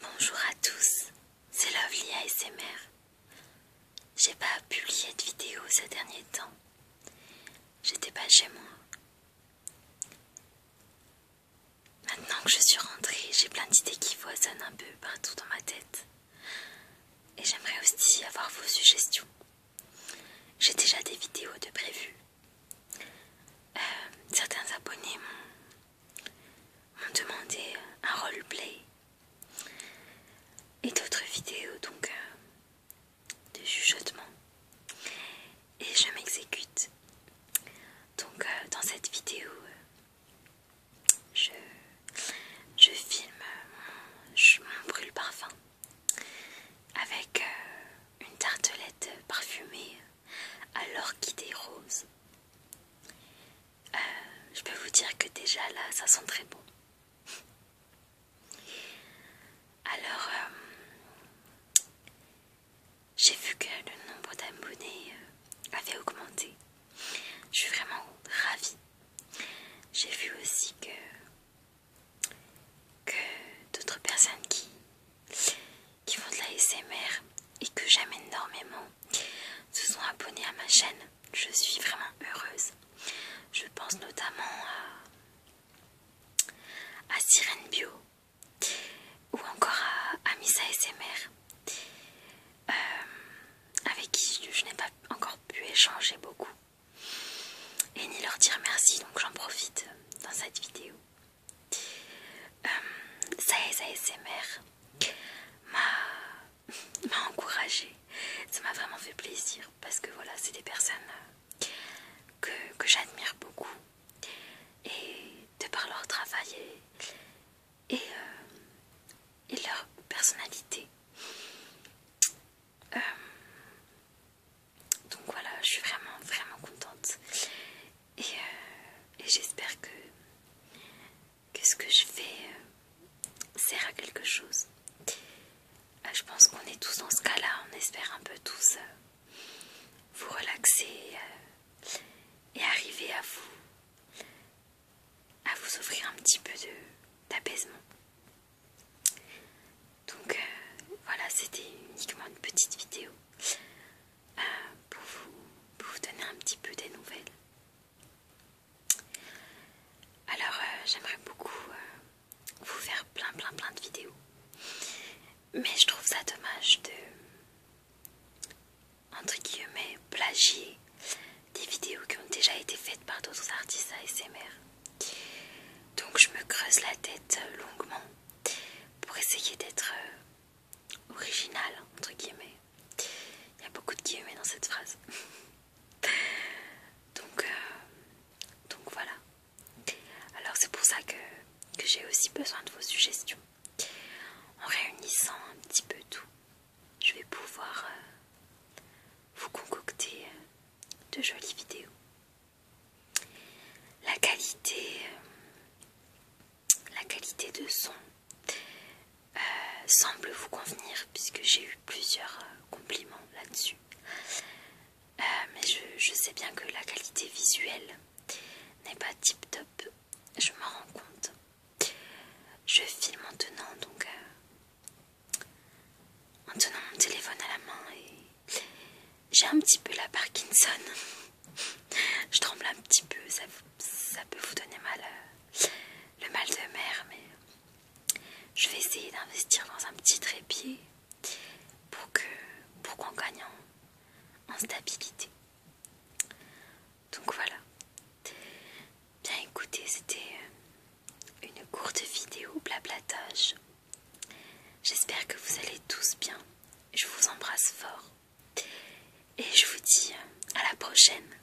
Bonjour à tous, c'est Lovely ASMR. J'ai pas publié de vidéo ces derniers temps. J'étais pas chez moi. Maintenant que je suis rentrée, j'ai plein d'idées qui foisonnent un peu partout dans ma tête. Et j'aimerais aussi avoir vos suggestions. J'ai déjà des vidéos de prévu. Euh, certains abonnés m'ont demandé un roleplay et d'autres vidéos donc euh, de chuchotement et je m'exécute donc euh, dans cette vidéo je, filme mon brûle parfum avec euh, une tartelette parfumée à l'orchidée rose. Euh, je peux vous dire que déjà là, ça sent très bon. Alors, euh, j'ai vu que le nombre d'abonnés avait augmenté. Je suis vraiment ravie. J'ai vu aussi que que d'autres personnes qui, qui font de la SMR et que j'aime énormément se sont abonnées à ma chaîne. Je suis vraiment heureuse. Je pense notamment à, à Sirène Bio ou encore à, Misa ASMR euh, avec qui je n'ai pas encore pu échanger beaucoup et ni leur dire merci, donc j'en profite dans cette vidéo. ça euh, est, ça est, m'a encouragé. ça m'a vraiment fait plaisir parce que voilà, c'est des personnes que, que j'admire beaucoup et de par leur travail euh, et, leur personnalité. Euh, donc voilà, je suis vraiment vraiment contente et, euh, j'espère que, que ce que je fais sert à quelque chose. je pense qu'on est tous dans ce cas-là, on espère un peu tous vous relaxer et arriver à vous à vous offrir un petit peu d'apaisement. Donc euh, voilà, c'était uniquement une petite vidéo euh, pour, vous, vous donner un petit peu des nouvelles. Alors euh, j'aimerais beaucoup vous faire plein plein plein de vidéos. Mais je trouve ça dommage de entre guillemets plagier des vidéos qui ont déjà été faites par d'autres artistes ASMR. Donc je me creuse la tête euh, longuement pour essayer d'être euh, original originale entre guillemets. Il y a beaucoup de guillemets dans cette phrase. donc, euh, donc voilà. Alors c'est pour ça que, j'ai aussi besoin de vos suggestions. En réunissant un petit peu tout, je vais pouvoir euh, vous concocter euh, de jolies vidéos. La qualité, euh, la qualité de son semble vous convenir puisque j'ai eu plusieurs compliments là-dessus. Euh, mais je, sais bien que la qualité visuelle n'est pas tip top, je m'en rends compte. Je filme en tenant donc euh, en tenant mon téléphone à la main et j'ai un petit peu la Parkinson. je tremble un petit peu, ça, peut vous donner mal euh, le mal de mer, mais je vais essayer d'investir dans un petit trépied pour qu'on pour gagne en stabilité. Donc voilà. Bien écoutez, c'était euh, une courte vidéo blablatage. J'espère que vous allez tous bien. Je vous embrasse fort. Et je vous dis euh, à la prochaine.